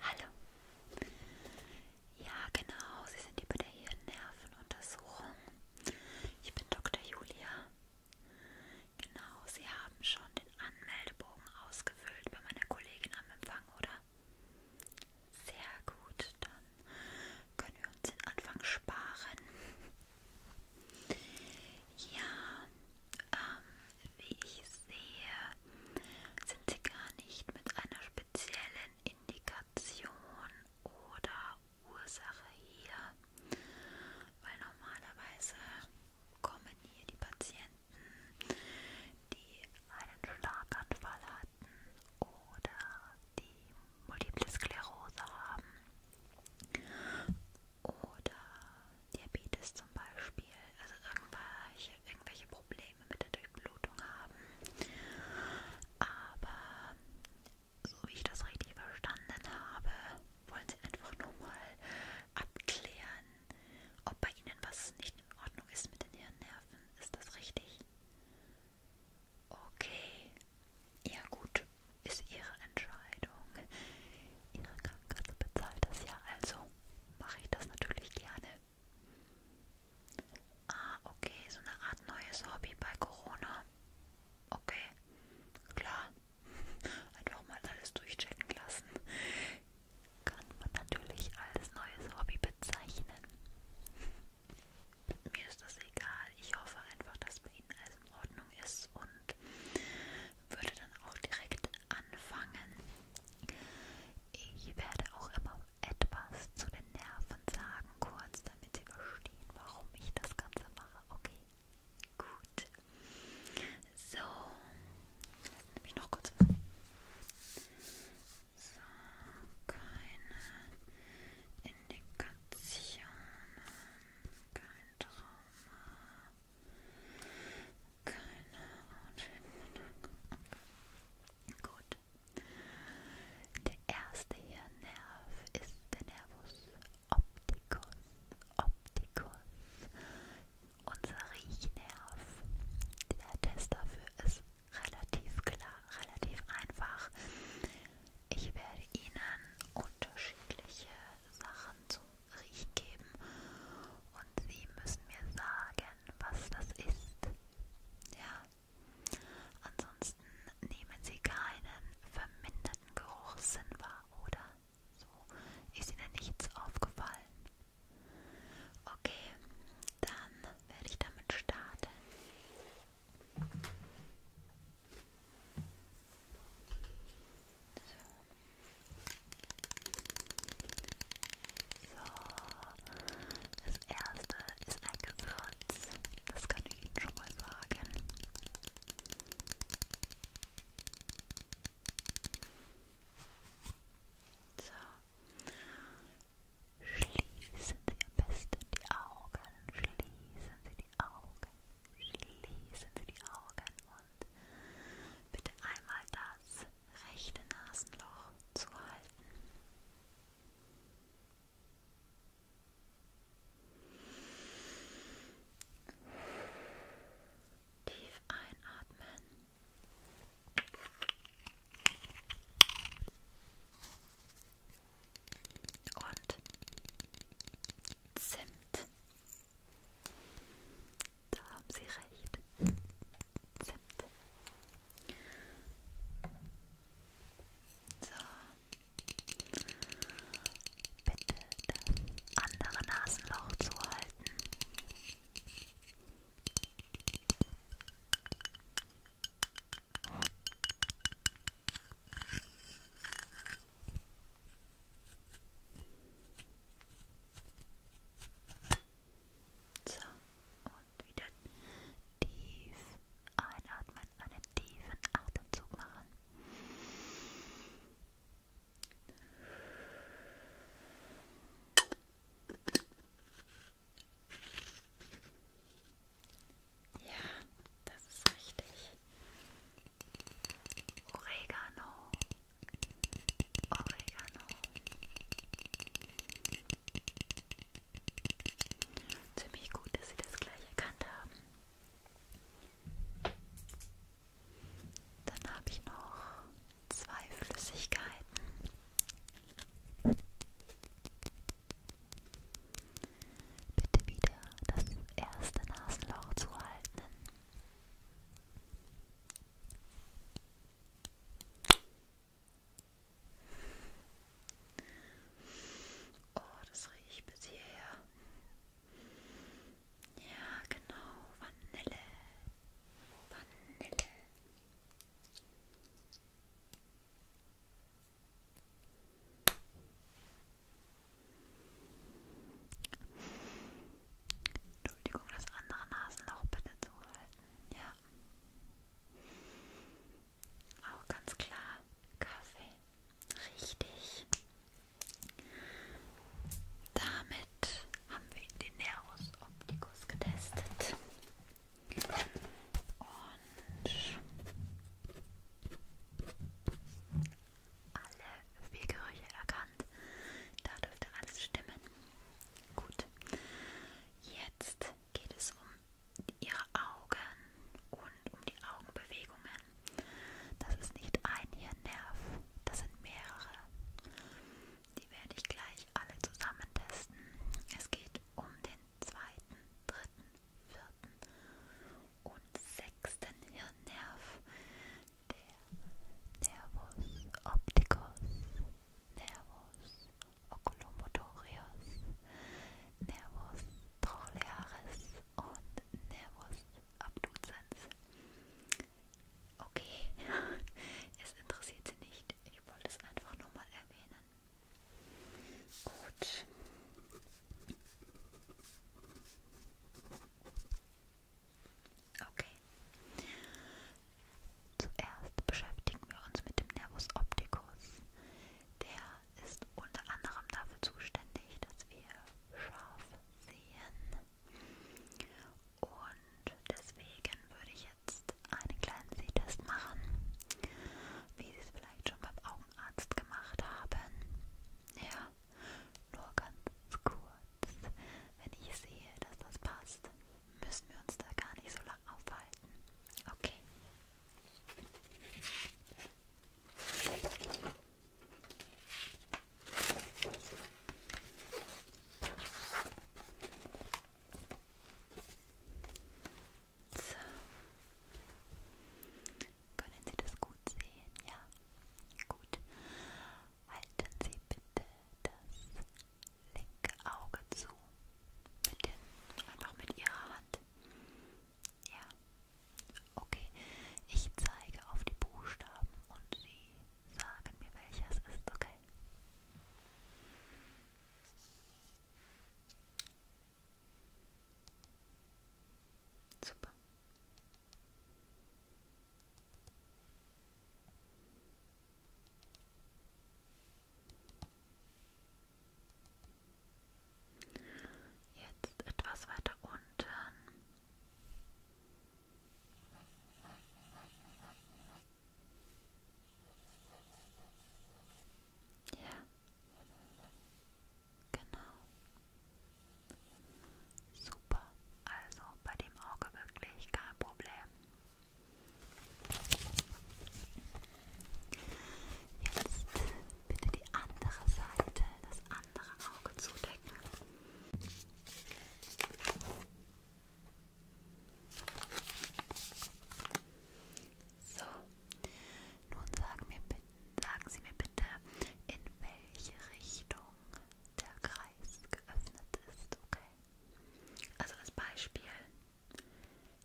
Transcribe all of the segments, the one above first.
Hallo. Ja, genau, Sie sind über der Hirnnervenuntersuchung. Ich bin Dr. Julia. Genau, Sie haben schon den Anmeldebogen ausgefüllt bei meiner Kollegin am Empfang, oder? Sehr gut, dann können wir uns den Anfang sparen. Ja, ähm, wie ich sehe, sind sie gar nicht mit einer speziellen Indikation oder Ursache hier, weil normalerweise kommen hier die Patienten, die einen Schlaganfall hatten oder die Multiple Sklerose haben oder Diabetes zum Beispiel, also irgendwelche, irgendwelche Probleme mit der Durchblutung haben. Aber so wie ich das richtig verstanden habe, wollen sie einfach nur mal abklären, ob bei ihnen was nicht in Ordnung ist mit den Hirnnerven. Ist das richtig? Okay. Ja gut, ist Ihre Entscheidung. Ihre Krankenkasse bezahlt das ja, also mache ich das natürlich gerne. Ah, okay, so eine Art neues Hobby bei Corona. Okay, klar. Einfach mal alles durchchecken lassen. Kann man natürlich als neues Hobby bezeichnen mir ist das egal. Ich hoffe einfach, dass bei Ihnen alles in Ordnung ist und würde dann auch direkt anfangen. Ich werde auch immer etwas zu den Nerven sagen, kurz, damit Sie verstehen, warum ich das Ganze mache. Okay, gut. So, jetzt nehme ich noch kurz was. So, keine Indikationen, kein Trauma, keine Hautschimmelung. Gut. Der erste Hirnnerv ist der Nervus opticus, opticus, unser Riechnerv. Der Test dafür ist relativ klar, relativ einfach. Ich werde Ihnen unterschiedliche Sachen zum Riech geben und Sie müssen mir sagen, was das ist. Ja. Ansonsten nehmen Sie keinen verminderten Geruchssinn wahr, oder? So ist Ihnen nichts aufgefallen. Okay, dann werde ich damit starten. So, das erste ist ein Gewürz, das kann ich Ihnen schon mal sagen. So, schließen Sie am besten die Augen, schließen Sie die Augen. Schließen Sie die Augen und bitte einmal das rechte Nasenloch zu halten. Tief einatmen und Zimt. Da haben Sie recht. Zimt. So. Bitte das andere Nasenloch zuhalten. So, und wieder tief einatmen, einen tiefen Atemzug machen. Ja, das ist richtig. Oregano. Oregano. Ziemlich gut, dass Sie das gleich erkannt haben. Dann habe ich noch zwei Flüssigkeiten. Bitte wieder das erste Nasenloch zu halten. Oh, das riecht bis hierher. Ja, genau, Vanille. Vanille. Entschuldigung, das andere Nasenloch bitte zuhalten. Ja. Auch ganz klar Kaffee. Richtig. Damit haben wir den Nervus Opticus getestet. Und alle vier Gerüche erkannt. Da dürfte alles stimmen. Gut. Jetzt geht es um ihre Augen und um die Augenbewegungen. Das ist nicht ein Hirnnerv, das sind mehrere. Die werde ich gleich alle zusammen testen. Es geht um den zweiten, dritten, vierten haben und sechsten Hirnnerv, der Nervus opticus, Nervus oculomotorius, Nervus trochlearis und Nervus abducens. Okay, es interessiert sie nicht. Ich wollte es einfach nur mal erwähnen. Gut. Okay. Zuerst beschäftigen wir uns mit dem Nervus opticus. Der ist unter anderem dafür zuständig, dass wir scharf sehen. Und deswegen würde ich jetzt einen kleinen Sehtest machen, wie Sie es vielleicht schon beim Augen Augenarzt gemacht haben. Ja, nur ganz kurz. Wenn ich sehe, dass das passt, müssen wir uns da gar nicht so lange aufhalten. Okay. So. Können Sie das gut sehen? Ja, gut. Halten Sie bitte das linke Auge zu. Mit den, einfach mit Ihrer Hand. Ja. Okay. Ich zeige auf die Buchstaben und Sie sagen mir, welches ist, okay? Super. Jetzt etwas weiter unten. Ja. Genau. Super. Also bei dem Auge wirklich kein Problem. Jetzt bitte die andere Seite, das andere Auge zudecken. So, nun sagen, mir, sagen Sie mir bitte, in welche Richtung der Kreis geöffnet ist, okay? Also als Beispiel,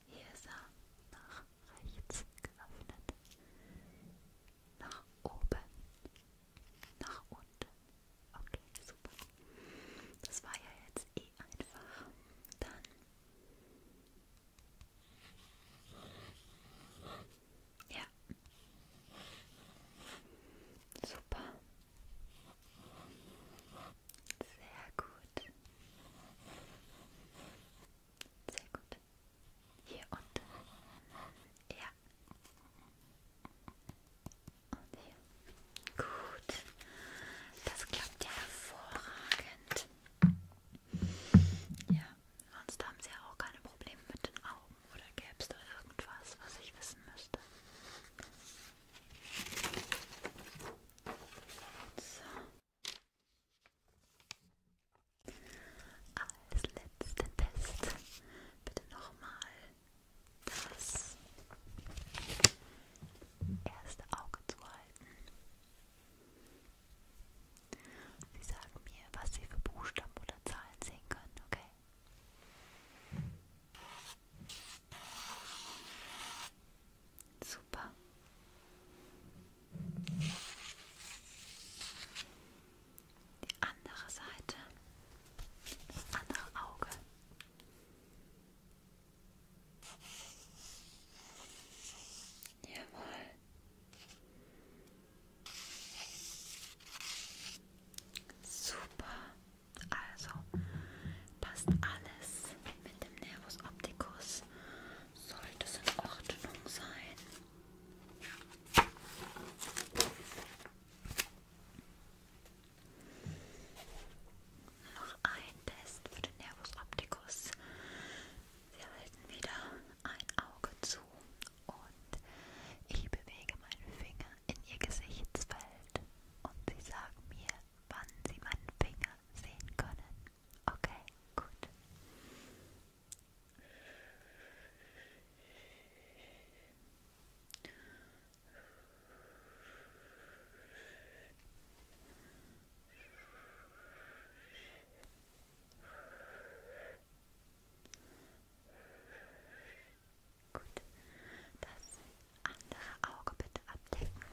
hier ist er nach rechts geöffnet, nach oben, nach unten. Okay, super. Das war ja jetzt eh einfach. Dann ja. Super. Sehr gut. Sehr gut. Hier unten. Ja. Und hier. Gut. Das klappt ja hervorragend. Ja, sonst haben sie ja auch keine Probleme mit den Augen. Oder gäbe es da irgendwas, was ich wissen müsste? So. Als letzten Test bitte nochmal das erste Auge zu halten. Sie sagen mir, was Sie für Buchstaben oder Zahlen sehen können, okay? Super. Die andere Seite, das andere Auge. Jawohl. Super. Also passt alles mit dem Nervus Opticus. Sollte es in Ordnung sein. Noch ein Test für den Nervus Opticus. Wir halten wieder ein Auge zu und ich bewege meinen Finger in ihr Gesichtsfeld und sie sagen mir, wann sie meinen Finger sehen können. Okay, gut. Gut, das andere Auge bitte abdecken.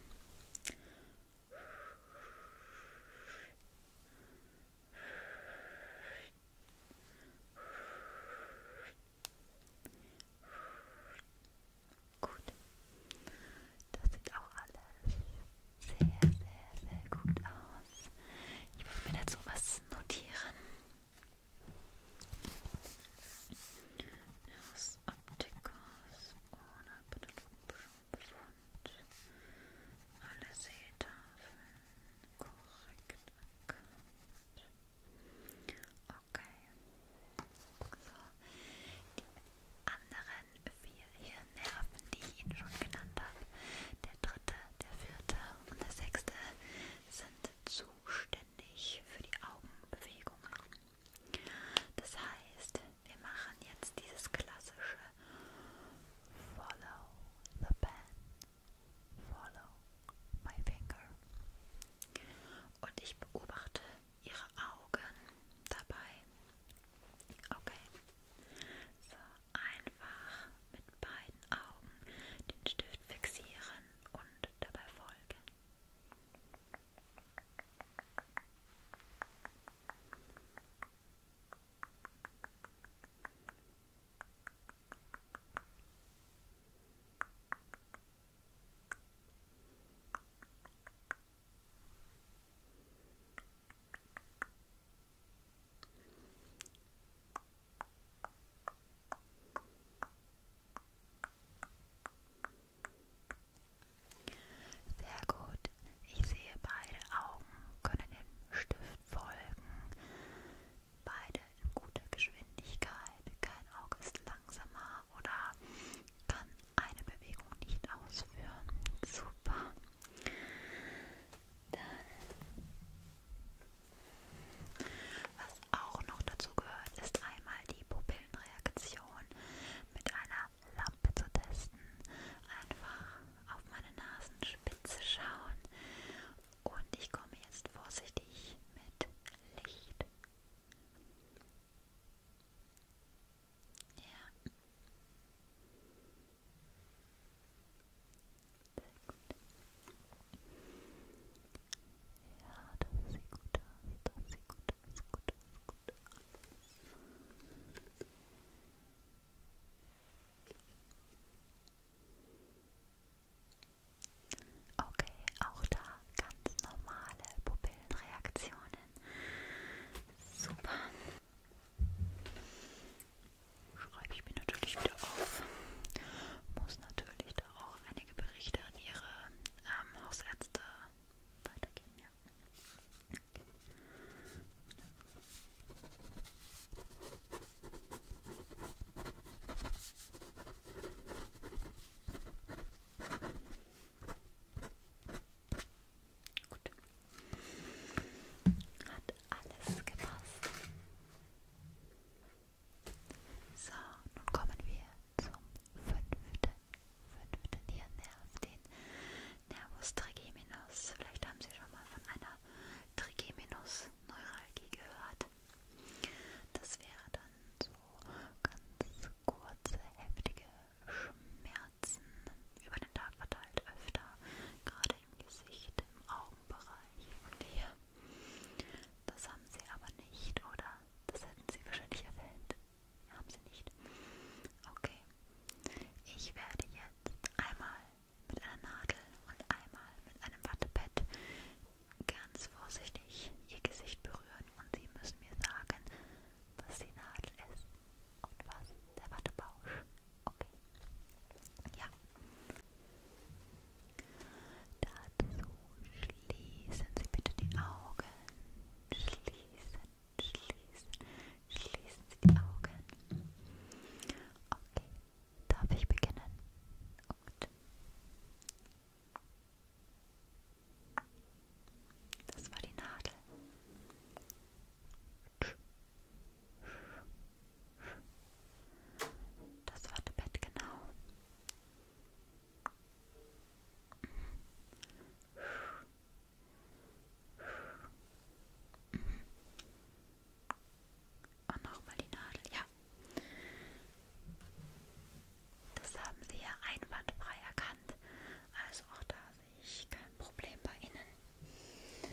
Gut. Das sieht auch alles sehr, sehr, sehr gut aus. Ich muss mir dazu was notieren. Aus Optikos ohne pathologischen Befund. Alle Seetafeln korrekt erkannt. Okay. So, die anderen vier Hirnnerven, die ich Ihnen schon genannt habe, der dritte, der vierte und der sechste, sind zuständig für die Augenbewegungen. Das heißt, wir machen jetzt dieses klassische Follow the pen, follow my finger. Und ich beobachte ihre Augen dabei. Okay. So, einfach mit beiden Augen den Stift fixieren und dabei folgen. Okay. Sehr gut. Ich sehe, beide Augen können dem Stift folgen. Beide in guter Geschwindigkeit. Kein Auge ist langsamer oder kann eine Bewegung nicht ausführen. Super. Dann, was auch noch dazu gehört, ist einmal die Pupillenreaktion mit einer Lampe zu testen. Einfach auf meine Nasenspitze schauen. Und ich komme jetzt vorsichtig mit Licht ja. Sehr gut. Ja, das sieht gut aus, das sieht gut aus, gut aus, gut aus. Okay, auch da ganz normale Pupillenreaktionen. Super. Schreibe ich mir natürlich wieder auf. Muss natürlich da auch einige Berichte an Ihre ähm, Hausärzte weitergeben. Ja. Okay. Okay. Gut. Hat alles gepasst. So, nun kommen wir zum fünften, fünften Hirnnerv, den Nervus trigeminus. Vielleicht haben Sie schon mal von einer Trigeminus-Neuralgie gehört. Das wäre dann so ganz kurze, heftige Schmerzen über den Tag verteilt öfter, gerade im Gesicht, im Augenbereich und hier. Das haben sie aber nicht, oder? Das hätten sie wahrscheinlich erwähnt. Haben sie nicht. Okay. Ich werde jetzt einmal mit einer Nadel und einmal mit einem Wattepad ganz vorsichtig ihr Gesicht berühren und sie müssen mir sagen, was die Nadel ist und was der Wattebausch. Okay. Ja. Dazu schließen Sie bitte die Augen. Schließen, schließen, schließen Sie die Augen. Okay, darf ich beginnen? Gut. Das war die Nadel. Das war das Bett genau. Und nochmal die Nadel, ja. Das haben Sie ja einwandfrei erkannt. Also auch da sehe ich kein Problem bei Ihnen.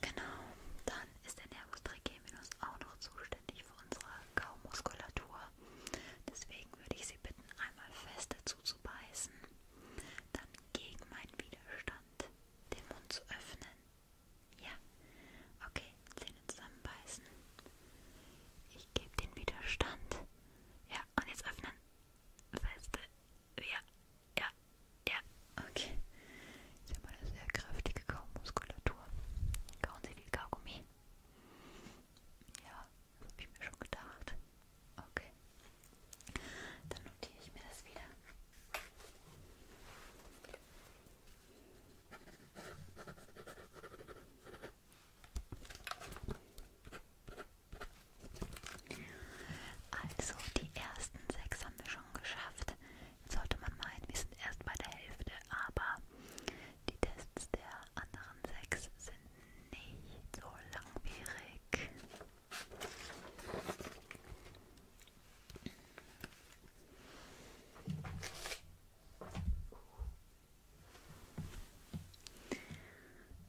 Genau, dann ist der Nervus trigeminus auch noch zuständig für unsere Kaumuskulatur. Deswegen würde ich Sie bitten, einmal feste zuzubeißen, dann gegen meinen Widerstand den Mund zu öffnen. Ja, okay, Zähne zusammenbeißen. Ich gebe den Widerstand. Ja, und jetzt öffnen feste. Ja, ja, ja. Okay. Sie haben eine sehr kräftige Kaumuskulatur. Kauen Sie viel Kaugummi? Ja, das habe ich mir schon gedacht. Okay. Dann notiere ich mir das wieder. Okay. Also, die ersten sechs haben wir schon geschafft. Jetzt sollte man meinen, wir sind erst bei der Hälfte, aber die Tests der anderen sechs sind nicht so langwierig.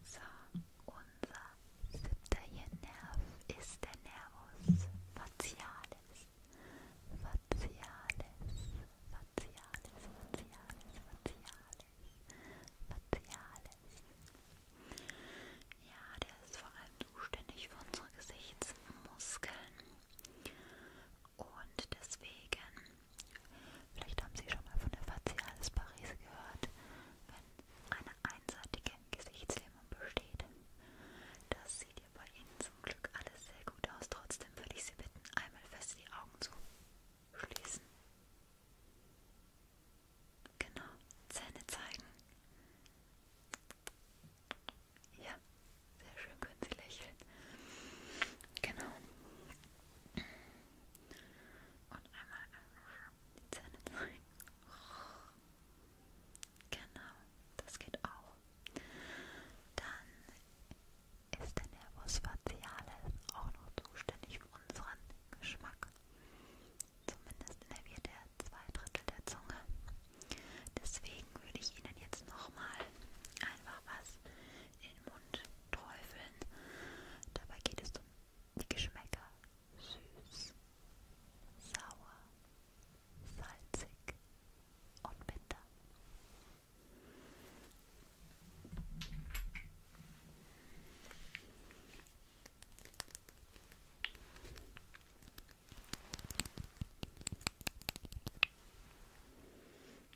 So, unser siebter Nerv ist der Nervus facialis. Facialis, facialis, facialis, facialis, facialis. Ja, der ist vor allem zuständig für unsere Gesichtsmuskeln. Und deswegen Vielleicht haben Sie schon mal von der Facialis Paris gehört, wenn eine einseitige Gesichtslähmung besteht. Das sieht ja bei Ihnen zum Glück alles sehr gut aus. Trotzdem würde ich Sie bitten, einmal fest die Augen zu schließen. Genau, Zähne zeigen. Ja, sehr schön können Sie lächeln. Genau. Und einmal die Zähne zeigen. Oh, genau, das geht auch. Dann ist der Nervus facialis auch noch zuständig für unseren Geschmack. Zumindest innerviert er zwei Drittel der Zunge. Deswegen würde ich Ihnen jetzt nochmal einfach was in den Mund Träufeln. Dabei geht es um die Geschmäcker süß, sauer, salzig und bitter.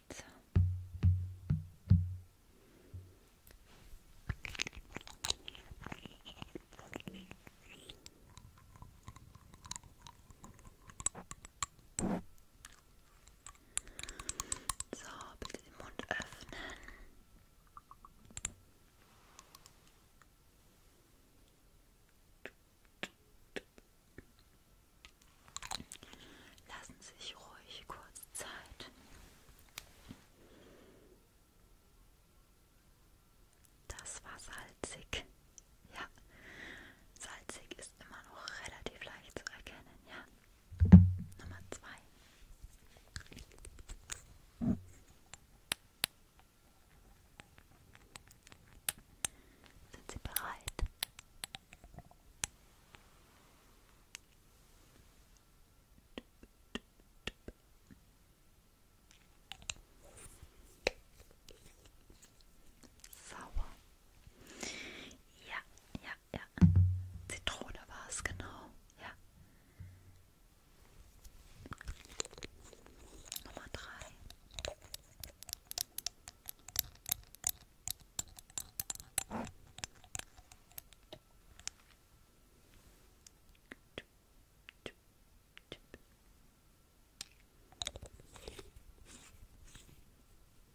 So. So, bitte den Mund öffnen. Lassen Sie sich ruhig kurz Zeit. Das war salzig. Ja, salzig ist immer noch relativ leicht zu erkennen. Ja, Nummer zwei. Sind Sie bereit? Sauer. Ja, ja, ja. Zitrone war es, genau. Ja. Nummer drei.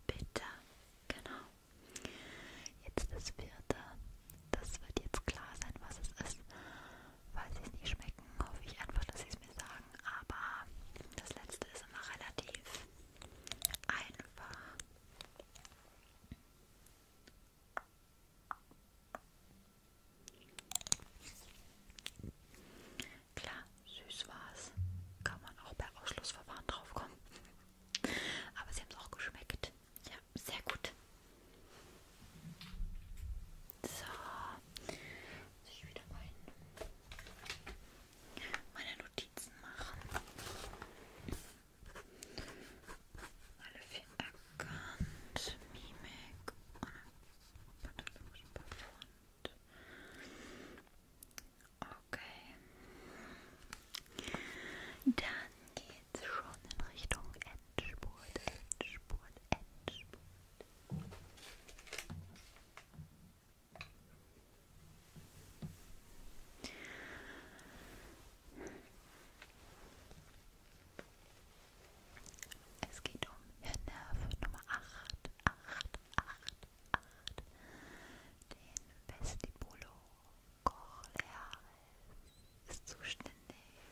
Bitte, genau. Jetzt das vierte. Das wird jetzt klar sein, was es ist. Falls sie es nicht schmecken, hoffe ich einfach, dass sie es mir sagen. Aber das letzte ist immer relativ einfach. Klar, süß war's. Kann man auch bei Ausschlussverfahren drauf kommen. Aber sie haben es auch geschmeckt. Ja, sehr gut. So, muss ich wieder meinen meine Notizen machen. Alle vier erkannt, Mimik und pathologischen Befund. Okay. Dann geht's schon in Richtung Endspurt, Endspurt, Endspurt. Es geht um Hirnnerv Nummer 8, 8, 8, 8, den Vestibulo cochleares ist zuständig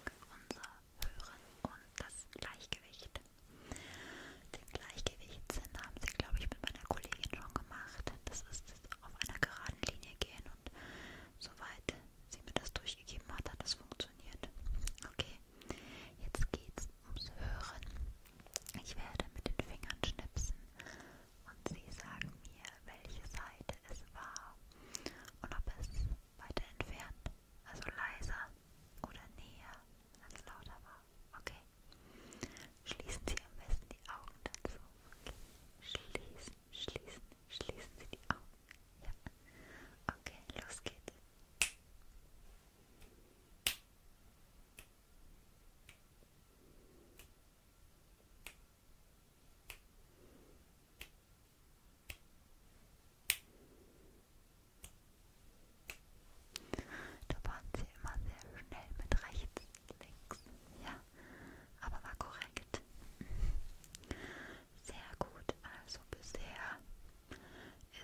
für unser Hören und das Gleichgewicht. Den Gleichgewichtssinn haben sie, glaube ich, mit meiner Kollegin schon gemacht. Das ist auf einer geraden Linie gehen und soweit sie mir das durchgegeben hat, hat das funktioniert. Okay, jetzt geht's ums Hören. Ich werde mit den Fingern schnipsen und sie sagen mir, welche Seite es war und ob es weiter entfernt, also leiser oder näher als lauter war. Okay. Schließen Sie am besten die Augen dazu. Okay. Schließen, schließen, schließen Sie die Augen. Ja. Okay, los geht's. Da waren sie immer sehr schnell mit rechts links. Ja, aber war korrekt. Sehr gut, also bisher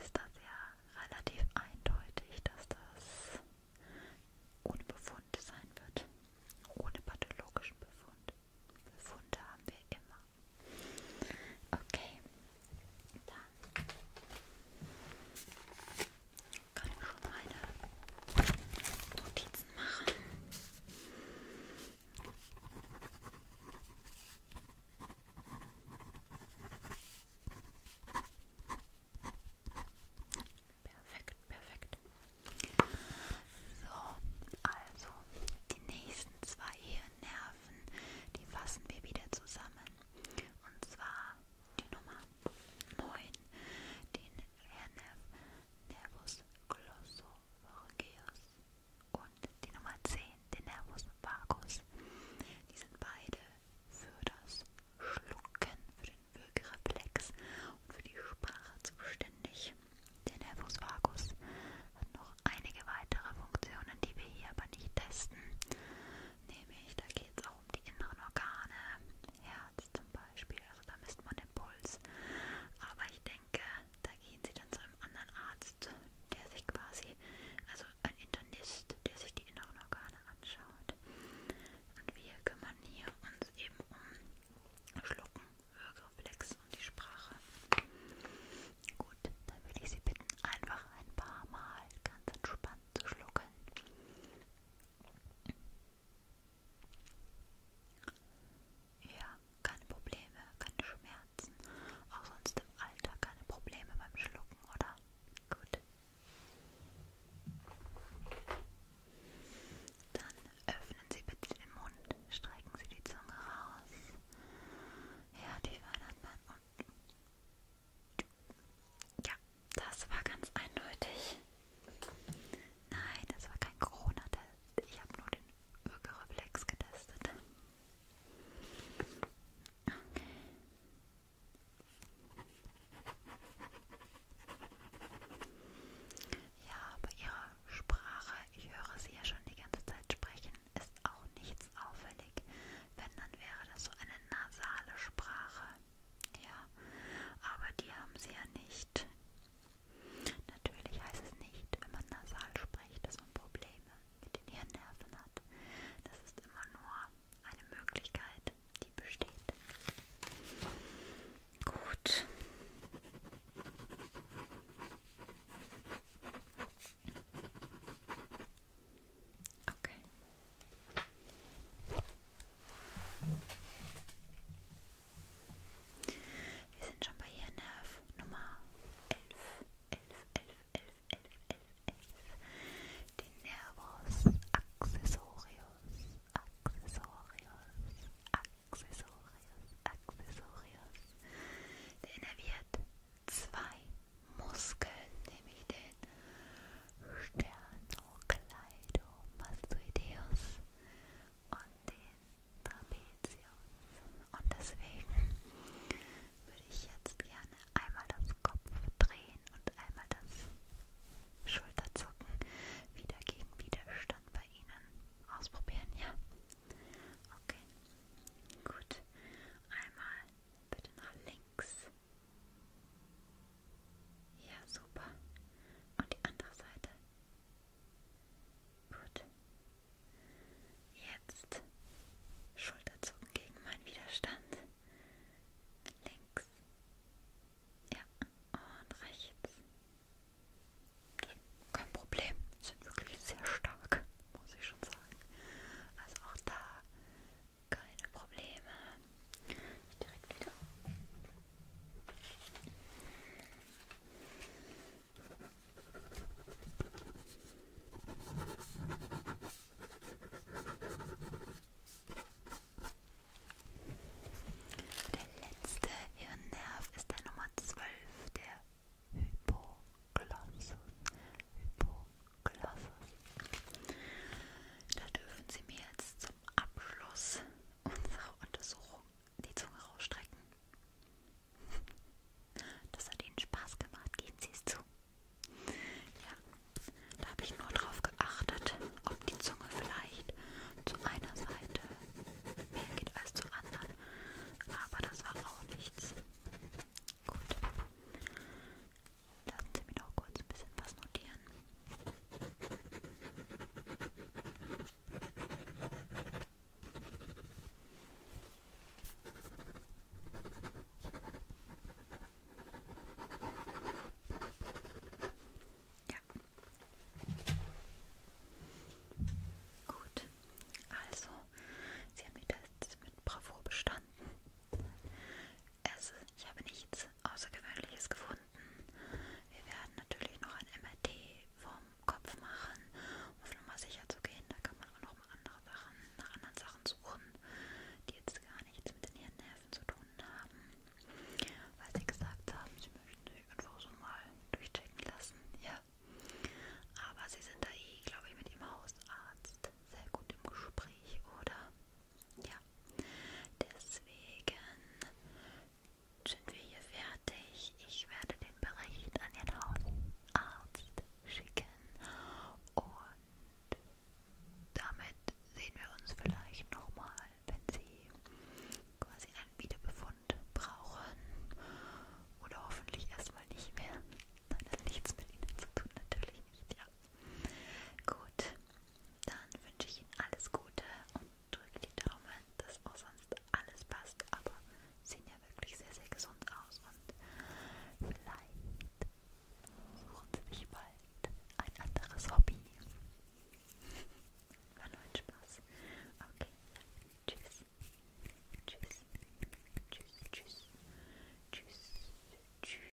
ist das ja relativ eindeutig, dass das ohne Befund sein wird. Ohne pathologischen Befund. Befunde haben wir immer. Okay, dann kann ich schon meine Notizen machen. Perfekt, perfekt. So, also die nächsten zwei Nerven, die fassen wir wieder zusammen. Und zwar die Nummer 9, den Nerv Nervus glossopharyngeus und die Nummer 10, den Nervus vagus. Die sind beide für das Schlucken, für den Würgereflex und für die Sprache zuständig. Der Nervus vagus hat noch einige weitere Funktionen, die wir hier aber nicht testen nämlich da geht es auch um die inneren Organe, Herz zum Beispiel, also da misst man den Puls. Aber ich denke, da gehen sie dann zu einem anderen Arzt, der sich quasi, also ein Internist, der sich die inneren Organe anschaut. Und wir kümmern hier uns eben um Schlucken, Hörreflex und die Sprache. Gut, dann würde ich Sie bitten, einfach ein paar Mal ganz entspannt zu schlucken. Ja, keine Probleme, keine Schmerzen. Auch sonst im Alter keine Probleme beim Schlucken, oder? Gut. Dann öffnen Sie bitte den Mund, strecken Sie die Zunge raus. Ja, die Weihnachten und ja, das war ganz eindeutig. Nein, das war kein Corona-Test. Ich habe nur den Ögereflex getestet. Okay. Ja, aber ihre Sprache, ich höre sie ja schon die ganze Zeit sprechen, ist auch nichts auffällig. Wenn, dann wäre das so eine nasale Sprache. Ja, aber die haben sie ja nicht. Natürlich heißt es nicht, wenn man nasal spricht, dass man Probleme mit den Hirnnerven hat. Das ist immer nur eine Möglichkeit, die besteht. Gut. Okay. Wir sind schon bei Hirnnerv Nummer 11. 11, 11, 11, 11, 11, 11. Den Nervus Accessorius. Accessorius. Accessorius. Accessorius. Der innerviert zwei Muskeln, nämlich den Sterno, Kaleido, Mastoideus und den Trapezius. Und deswegen würde ich jetzt gerne einmal das Kopf drehen und einmal das Schulterzucken wieder gegen Widerstand bei Ihnen ausprobieren, ja? Okay, gut. Einmal bitte nach links ja, super. Und die andere Seite. Gut. Jetzt Schulterzucken gegen meinen Widerstand. Links. Ja, und rechts. Kein Problem. Sind wirklich sehr stark, muss ich schon sagen. Also auch da keine Probleme. Ich direkt wieder. Der letzte Hirnnerv ist der Nummer 12, der Hypoglossum. Hypoglossum. Glosses. Da dürfen Sie mir jetzt zum Abschluss unserer Untersuchung die Zunge rausstrecken. Das hat Ihnen Spaß gemacht, geben Sie es zu. Ja, da habe ich nur darauf geachtet, ob die Zunge vielleicht zu einer Seite mehr geht als zur anderen. Aber das war auch nichts. Gut. Lassen Sie mich noch kurz ein bisschen was notieren. Ja. Gut. Also, Sie haben die Tests mit Bravour bestanden es, ich habe nichts Außergewöhnliches gefunden. Wir werden natürlich noch ein MRT vom Kopf machen, um nochmal sicher zu gehen. Da kann man auch nochmal andere Sachen, nach anderen Sachen suchen, die jetzt gar nichts mit den Hirnnerven zu tun haben. Weil sie gesagt haben, sie möchten sich einfach so mal durchchecken lassen. Ja. Aber sie sind da eh, glaube ich, mit ihrem Hausarzt sehr gut im Gespräch, oder? ja, deswegen sind wir hier fertig. Ich werde den Bericht an den Hausarzt schicken und damit sehen wir uns vielleicht nochmal, wenn Sie quasi einen Wiederbefund brauchen oder hoffentlich erstmal nicht mehr. Nein, das hat nichts mit Ihnen zu tun, natürlich nicht, ja. Gut, dann wünsche ich Ihnen alles Gute und drücke die Daumen, dass auch sonst alles passt. Aber sehen ja wirklich sehr, sehr gesund aus und vielleicht suchen Sie sich bald ein anderes Hobby. War nur ein Spaß. Okay, tschüss. Tschüss. Tschüss, tschüss. Tschüss, tschüss.